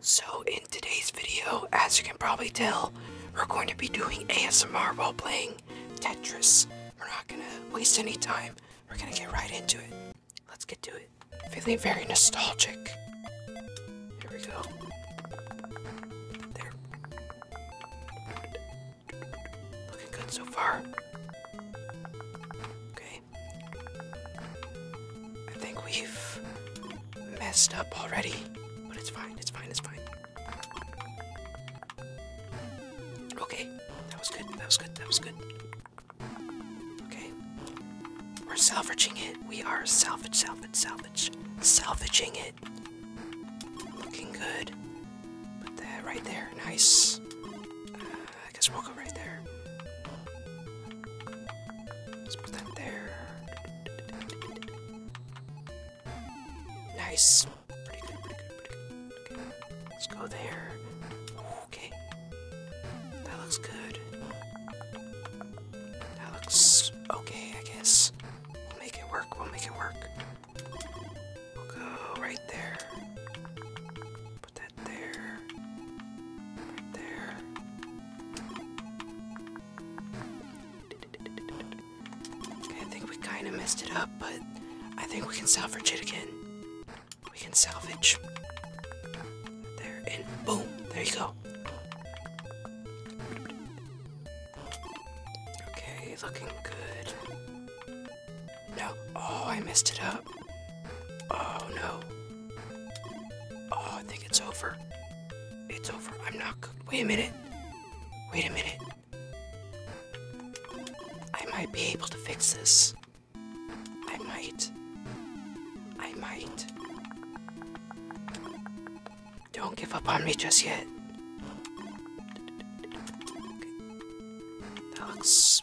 So in today's video, as you can probably tell, we're going to be doing ASMR while playing Tetris. We're not gonna waste any time. We're gonna get right into it. Let's get to it. Feeling very nostalgic. Here we go. There. Looking good so far. Okay. I think we've messed up already, but it's fine, it's fine, it's fine. Okay, that was good, that was good, that was good. Okay. We're salvaging it. We are salvage, salvage, salvage, salvaging it. Looking good. right there, nice. Uh, I guess we'll go right there. Let's put that there. Nice. Pretty good, pretty good, pretty good. Okay. Let's go there. Okay. That looks good. That looks okay, I guess. We'll make it work, we'll make it work. We'll go right there. Put that there. there. Okay, I think we kind of messed it up, but I think we can salvage it again. We can salvage. There, and boom! There you go. Okay, looking good. No. Oh, I messed it up. Oh, no. Oh, I think it's over. It's over. I'm not good. Wait a minute. Wait a minute. I might be able to fix this. I might. I might. Don't give up on me just yet. Okay. That looks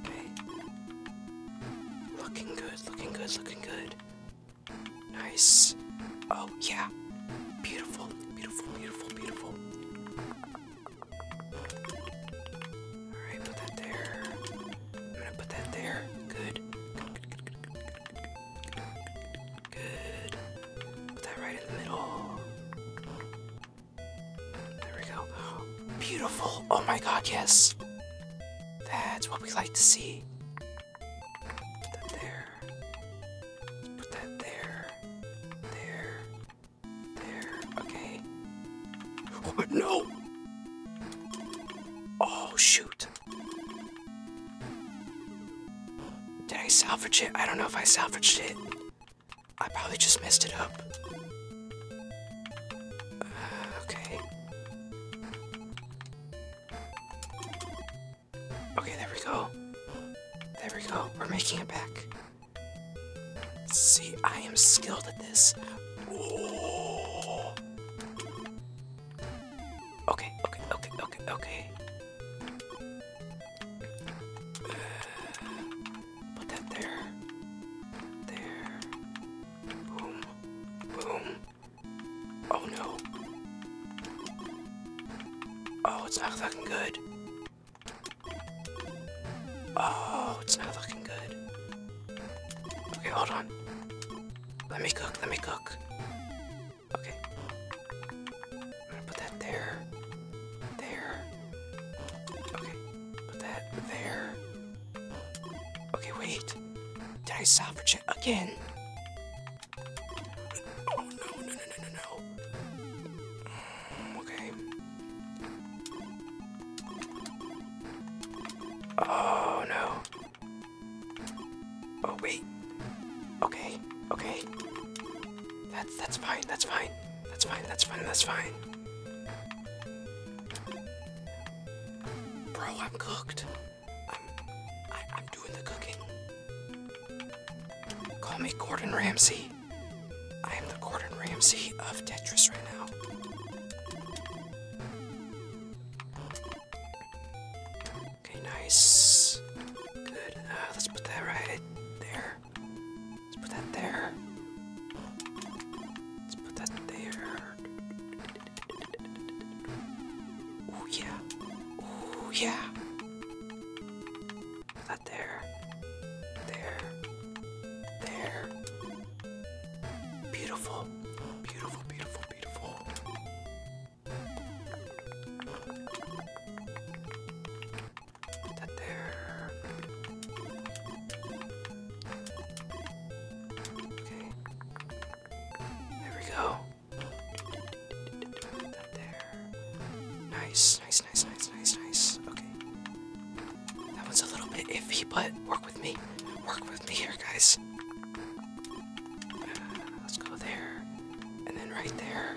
Okay. Looking good, looking good, looking good. Nice. Oh, yeah. Beautiful, beautiful, beautiful, beautiful. Alright, put that there. I'm gonna put that there. Good. Good. Put that right in the middle. There we go. Beautiful. Oh my god, yes. That's what we like to see. Put that there. Put that there. There. There. Okay. Oh, no! Oh, shoot. Did I salvage it? I don't know if I salvaged it. I probably just messed it up. Uh, okay. Okay, there we go. There we go. We're making it back. See, I am skilled at this. Okay, okay, okay, okay, okay. Uh, Put that there. There. Boom. Boom. Oh no. Oh, it's not looking good. Oh, it's not looking good. Okay, hold on. Let me cook, let me cook. Okay. I'm gonna put that there. There. Okay. Put that there. Okay, wait. Did I salvage it again? Oh no, no, no, no, no, no. Mm, okay. Oh no. Oh wait. Okay, okay. That's that's fine, that's fine. That's fine, that's fine, that's fine. Bro, I'm cooked. I'm, I, am doing the cooking. Call me Gordon Ramsay. I am the Gordon Ramsay of Tetris right now. Okay, nice. Good. Uh, let's put that right there. Let's put that there. Let's put that there. Oh yeah. Oh yeah. that there. There. There. Beautiful. Beautiful, beautiful, beautiful that they Okay. There we go. Nice, nice, nice, nice, nice, nice. Okay. That one's a little bit iffy, but work with me. Work with me here, guys. Uh, let's go there. And then right there.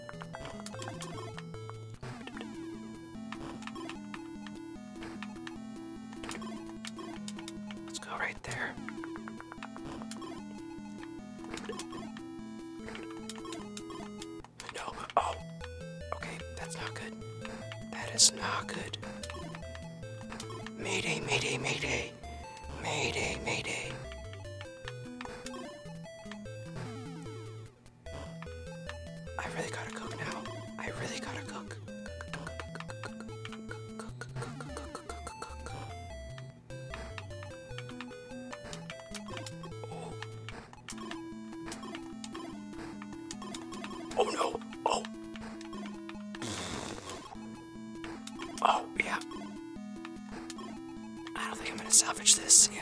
go right there. No, oh, okay, that's not good. That is not good. Mayday, mayday, mayday. Mayday, mayday. I really gotta cook now. I really gotta cook. Oh, oh. no! Oh! Oh, yeah. I don't think I'm gonna salvage this, yeah.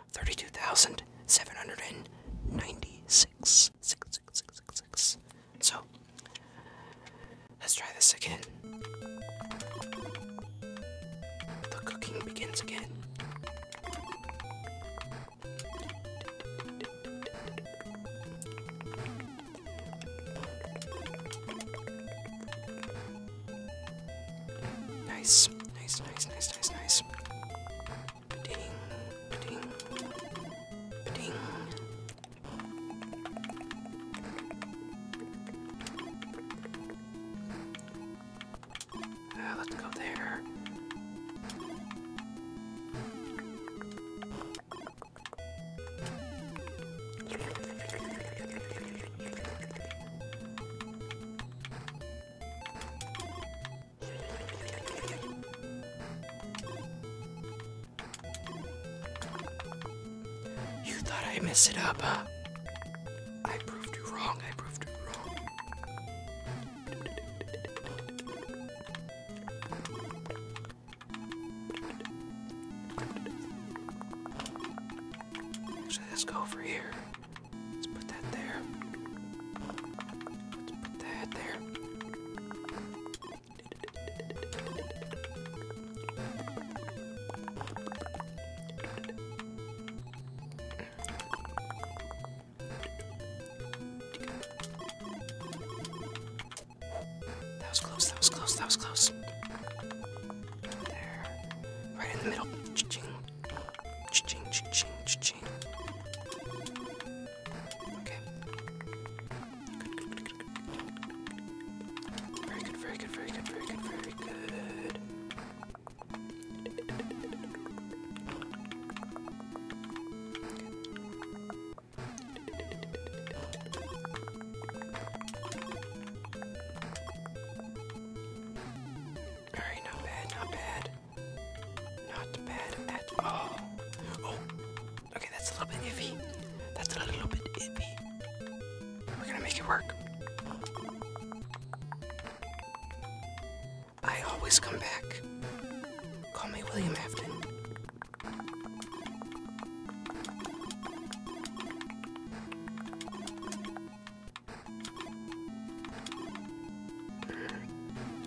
thirty-two thousand seven hundred and So let's try this again. The cooking begins again. Nice. Nice, nice, nice, nice, nice. Ding, ding, ding. Uh, let's go there. You thought I messed it up, huh? I proved you wrong, I proved you wrong. let's go over here. Let's put that there. Let's put that there. That was close, that was close, that was close. There. Right in the middle. Cha-ching, cha-ching, cha-ching. Okay. Good, good, good, good, good. Very good, very good, very good, very good, very good. Okay not bad, not bad. Not bad at all. Oh, okay, that's a little bit iffy. That's a little bit iffy. We're gonna make it work. I always come back. Call me William Afton.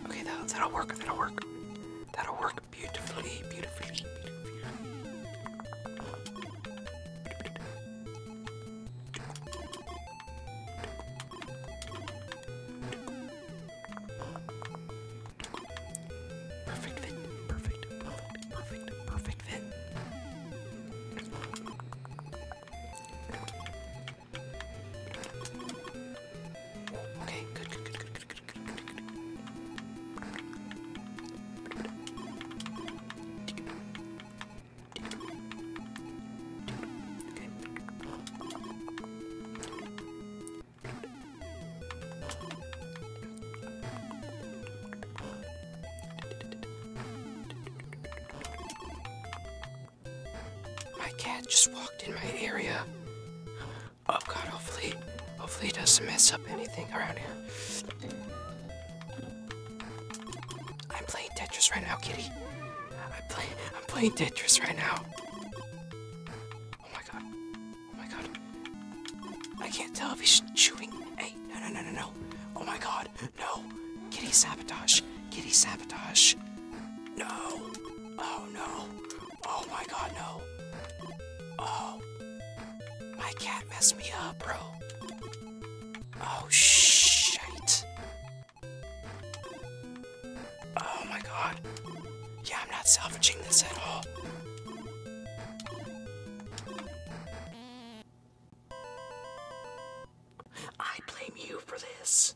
Okay, that, will work, that'll work. That'll work beautifully, beautifully, beautifully. Perfect fit, perfect, perfect, perfect, perfect fit. Okay, good, good, good, good, good, good, good, good, good. Okay. Okay. My cat just walked in my area. Oh god, hopefully, hopefully it doesn't mess up anything around here. I'm playing Tetris right now, kitty. I'm, play I'm playing Tetris right now. Oh my god. Oh my god. I can't tell if he's chewing. Hey, no, no, no, no, no. Oh my god no. Kitty sabotage. Kitty sabotage. No. Oh no. Oh my god, no. Oh. My cat messed me up, bro. Oh shit. Oh my god. Yeah, I'm not salvaging this at all. I blame you for this.